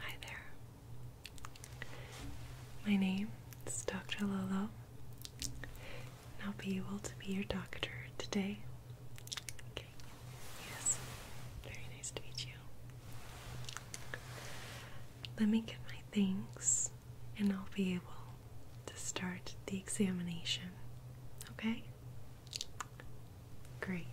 Hi there. My name is Dr. Lolo, and I'll be able to be your doctor today. Okay, yes, very nice to meet you. Let me get my things, and I'll be able to start the examination. Okay? Great.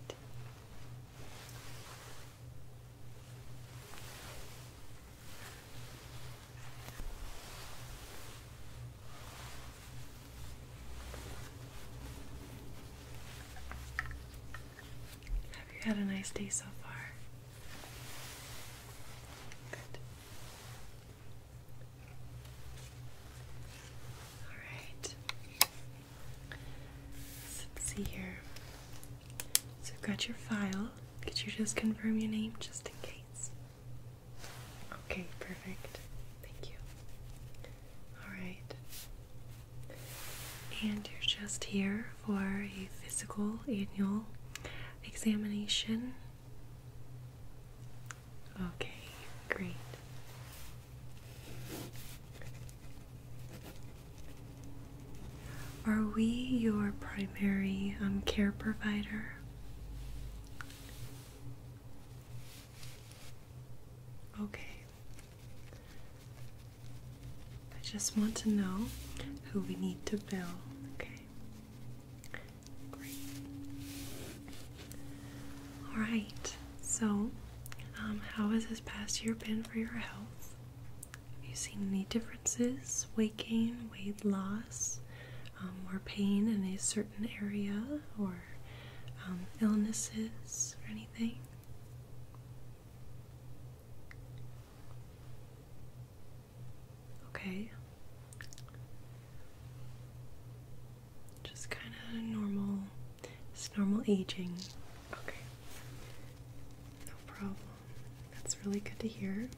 Have you had a nice day so far? Good. All right. So let's see here. So I've got your file. Could you just confirm your name just in case? Okay, perfect. Thank you. Alright. And you're just here for a physical annual examination. Okay, great. Are we your primary um, care provider? Okay. I just want to know who we need to bill. Okay. Great. All right. So um, how has this past year been for your health? Have you seen any differences? Weight gain, weight loss, more um, pain in a certain area, or um, illnesses, or anything? Okay. Just kind of normal, just normal aging. Okay. No problem. That's really good to hear.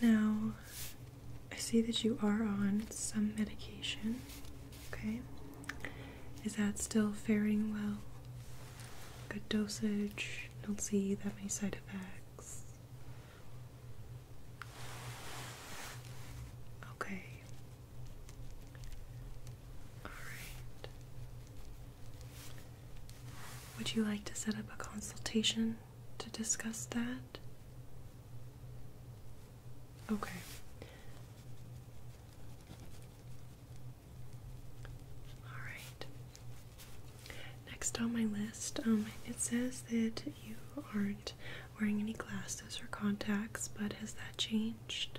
Now, I see that you are on some medication. Okay. Is that still faring well? Good dosage. Don't see that many side effects. Okay. Would you like to set up a consultation to discuss that? Okay. Alright. Next on my list, um, it says that you aren't wearing any glasses or contacts, but has that changed?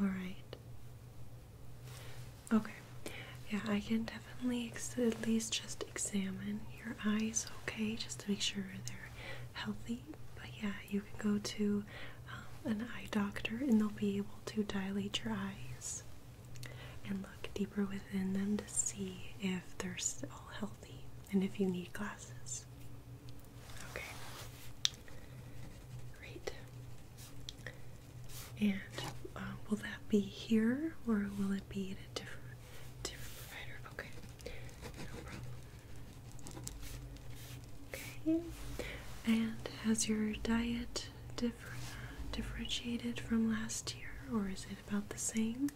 All right. Okay. Yeah, I can definitely at least just examine your eyes, okay, just to make sure they're healthy. But yeah, you can go to um, an eye doctor and they'll be able to dilate your eyes and look deeper within them to see if they're all healthy and if you need glasses. Okay. Great. And um, will that be here or will it be at a different different provider? Okay. No problem. Okay. And has your diet differ differentiated from last year or is it about the same?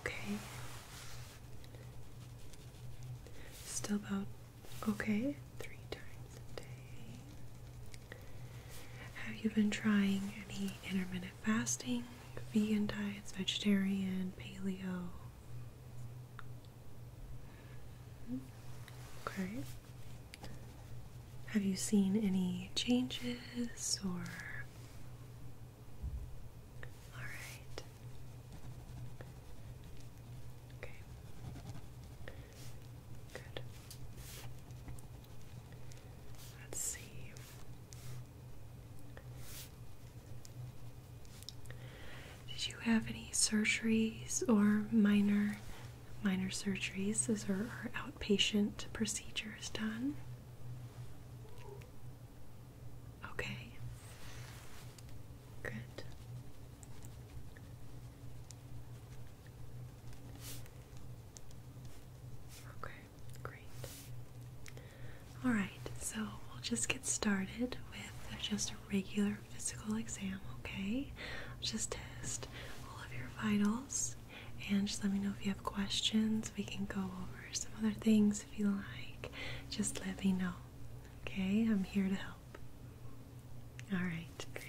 Okay. Still about okay three times a day. Have you been trying any intermittent fasting, vegan diets, vegetarian, paleo? Hmm? Okay. Have you seen any changes or? All right. Okay. Good. Let's see. Did you have any surgeries or minor minor surgeries. Those are outpatient procedures done. Okay. Good. Okay, great. All right, so we'll just get started with just a regular physical exam, okay? just test all of your vitals and just let me know if you have questions. We can go over some other things if you like. Just let me know, okay? I'm here to help. All right, great.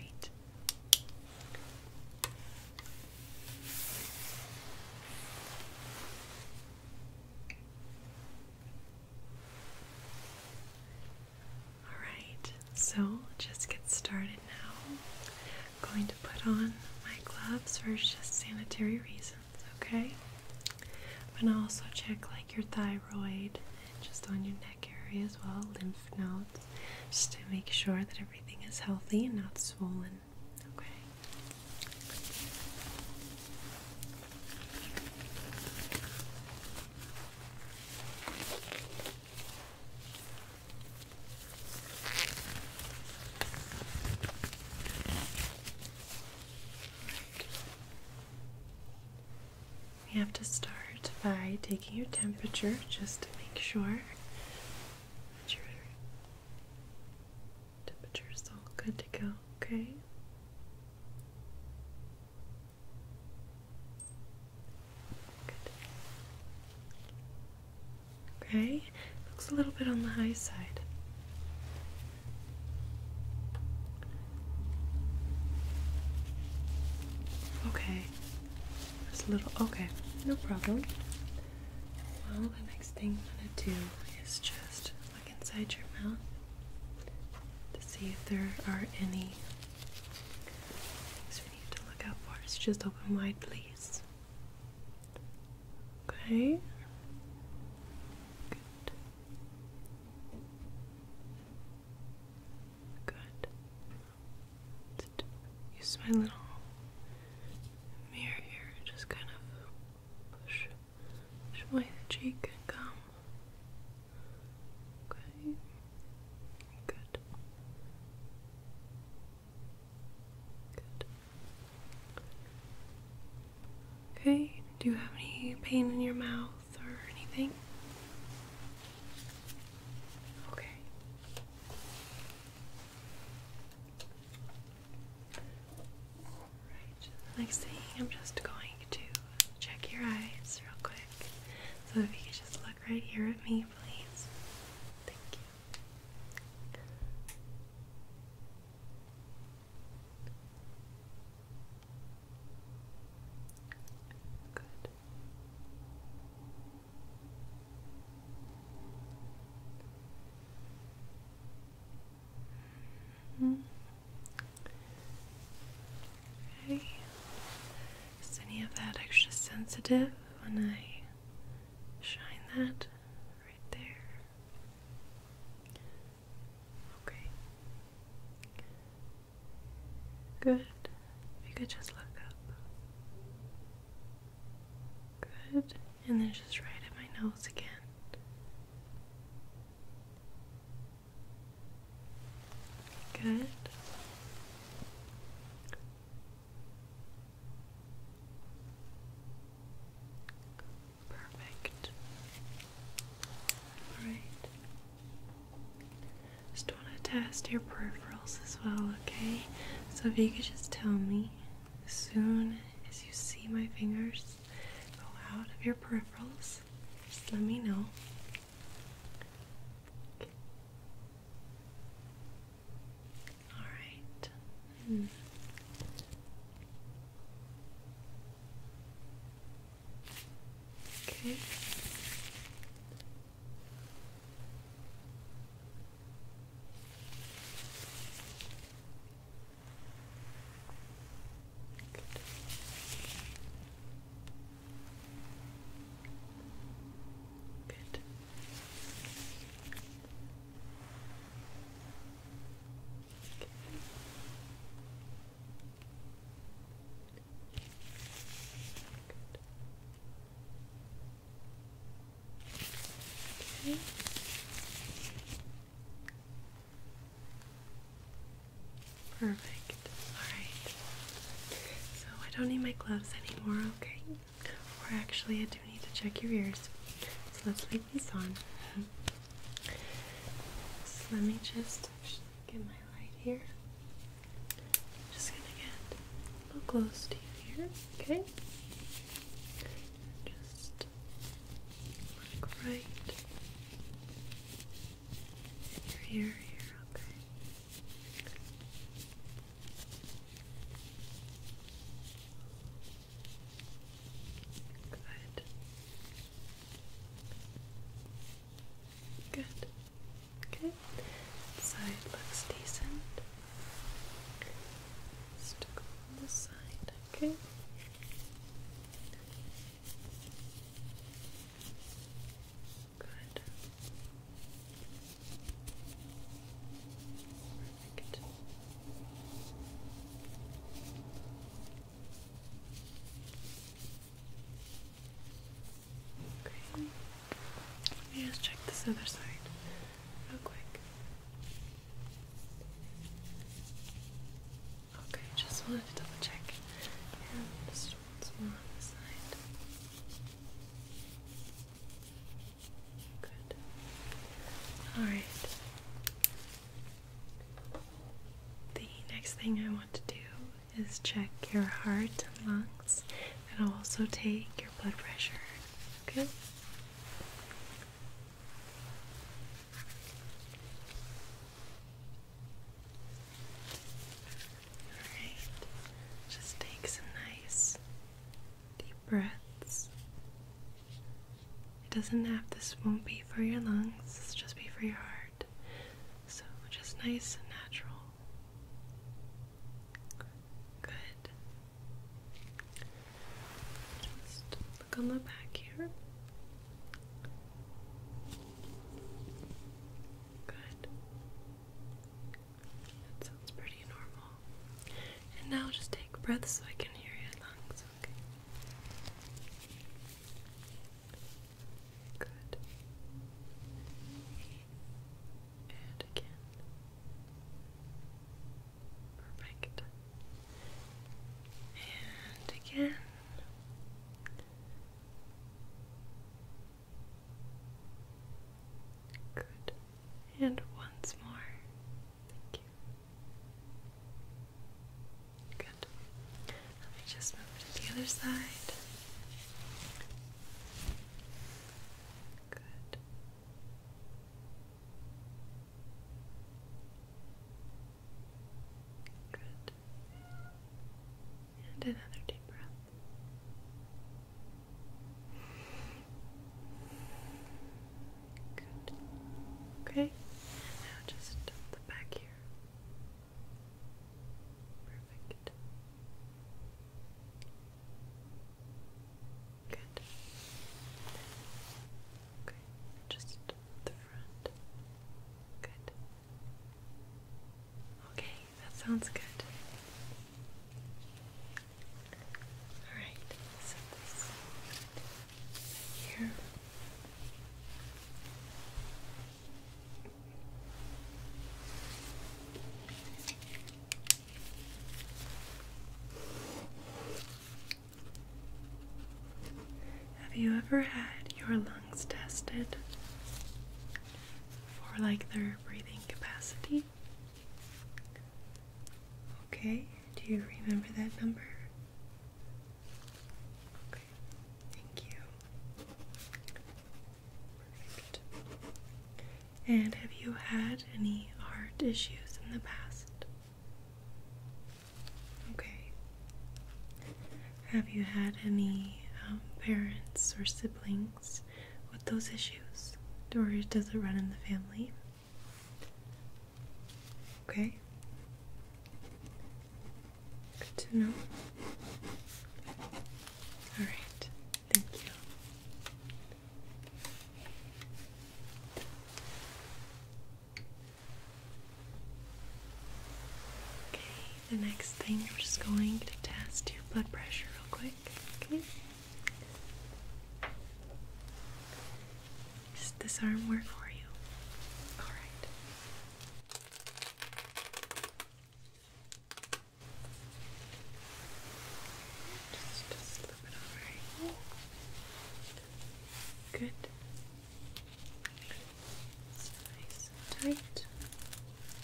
Alright, so just get started now. I'm going to put on my gloves for just sanitary reasons, okay? i going to also check like your thyroid and just on your neck area as well, lymph nodes, just to make sure that everything is healthy and not swollen, okay? We have to start by taking your temperature just to make sure that your temperature is all good to go, okay? Okay, looks a little bit on the high side. Okay, just a little. Okay, no problem. Well, the next thing I'm gonna do is just look inside your mouth to see if there are any need to look out for. It's just open wide, please. Okay. Good. Good. use my little mirror here. Just kind of push, push away cheek and gum. Okay. Good. Good. Okay, do you have any pain in your mouth or anything? Okay. Alright, next thing I'm just going to check your eyes real quick. So if you could just look right here at me, please. Thank you. Good. -hmm. Okay. Is any of that extra sensitive when I shine that right there? Okay. Good. If you could just look up. Good. And then just right at my nose again. Good. Perfect. All right. Just want to test your peripherals as well, okay? So if you could just tell me as soon as you see my fingers go out of your peripherals, just let me know. All right. Hmm. Okay. Good. Good. Okay. Good. Perfect. Alright. So I don't need my gloves anymore, okay? Or actually, I do need to check your ears. So let's leave these on. let me just get my light here. just gonna get a little close to you here, okay? Just look right your ear here, okay. Good. Good. Okay. Side looks decent. Stick on this side, okay. Good. Let me just check this other side real quick. Okay, just wanted to double check. Good. All right. The next thing I want to do is check your heart and lungs, and I'll also take your blood pressure. Okay just take some nice deep breaths. It doesn't have to. this won't be for your lungs, this just be for your heart. So just nice and natural. Good. Just look on the back here. Good. That sounds pretty normal. And now just take breaths so I can hear your lungs, okay? Good. And again. Perfect. And again. Good. And once more. Thank you. Good. Let me just move to the other side. Good. Good. And another deep breath. Good. Okay. now just the back here. Perfect. Good. Okay. Just the front. Good. Okay that sounds good. Alright, so this here. Have you ever had your lungs tested? for like their breathing capacity. Okay, do you remember that number? Okay, thank you. Perfect. And have you had any heart issues in the past? Okay. Have you had any um, parents or siblings with those issues? Or does it run in the family? Okay. Good to know. Alright, thank you. Okay, the next thing, we're just going to test your blood pressure real quick. Okay. Does this arm work for you? All right. Just, slip it over Good. nice and tight.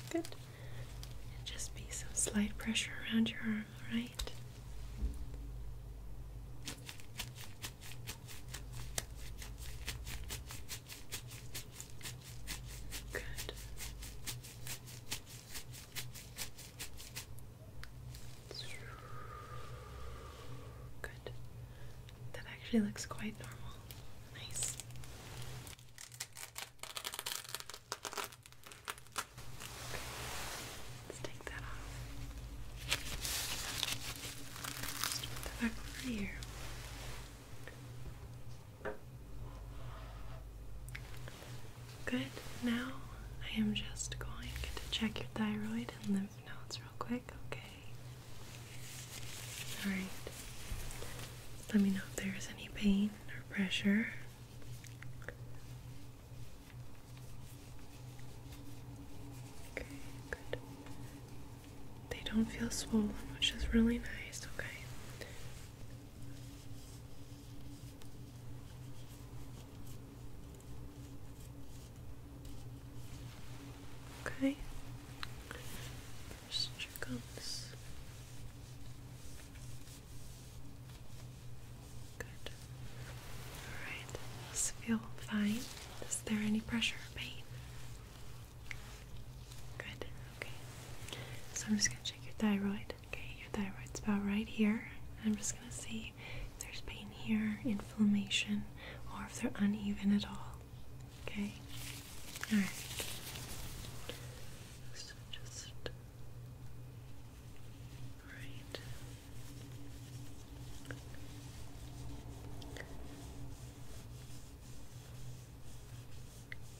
Good just be some slight pressure around your arm, alright? Good. Good. That actually looks quite normal. Nice. Let's take that off. put that back over here. Good. Now I am just going to check your thyroid and lymph nodes real quick, okay? Alright. Let me know if there's any pain or pressure. Okay, good. They don't feel swollen, which is really nice, okay? Okay. First check on Good. Alright, does feel fine? Is there any pressure or pain? Good, okay. So I'm just gonna check your thyroid. Okay, your thyroid's about right here. I'm just gonna see if there's pain here, inflammation, or if they're uneven at all. Okay. All right. So just right.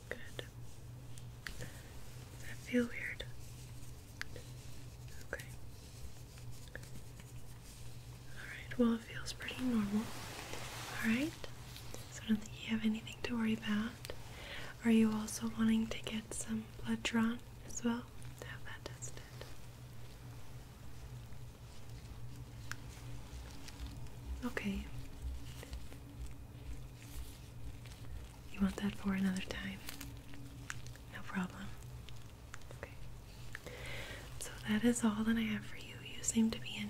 Good. Does feel weird? Okay. Alright, well, it feels pretty normal. Alright, so I don't think you have anything to worry about. Are you also wanting to get some blood drawn as well? To have that tested. Okay. You want that for another time? No problem. Okay. So that is all that I have for you. You seem to be in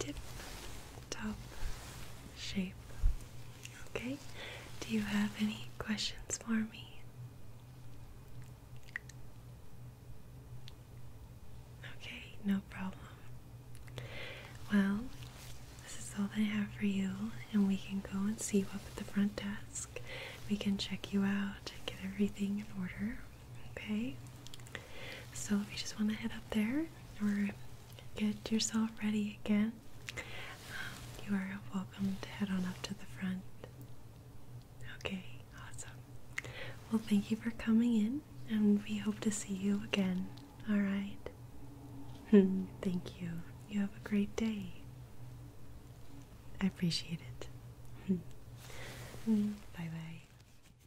tip top shape. Okay, do you have any questions for me? Okay, no problem. Well, this is all that I have for you, and we can go and see you up at the front desk. We can check you out, and get everything in order, Okay, so if you just want to head up there or get yourself ready again, um, you are welcome to head on up to the front. Okay, awesome. Well, thank you for coming in, and we hope to see you again. All right. Hmm, thank you. You have a great day. I appreciate it. Hmm. Hmm, bye bye.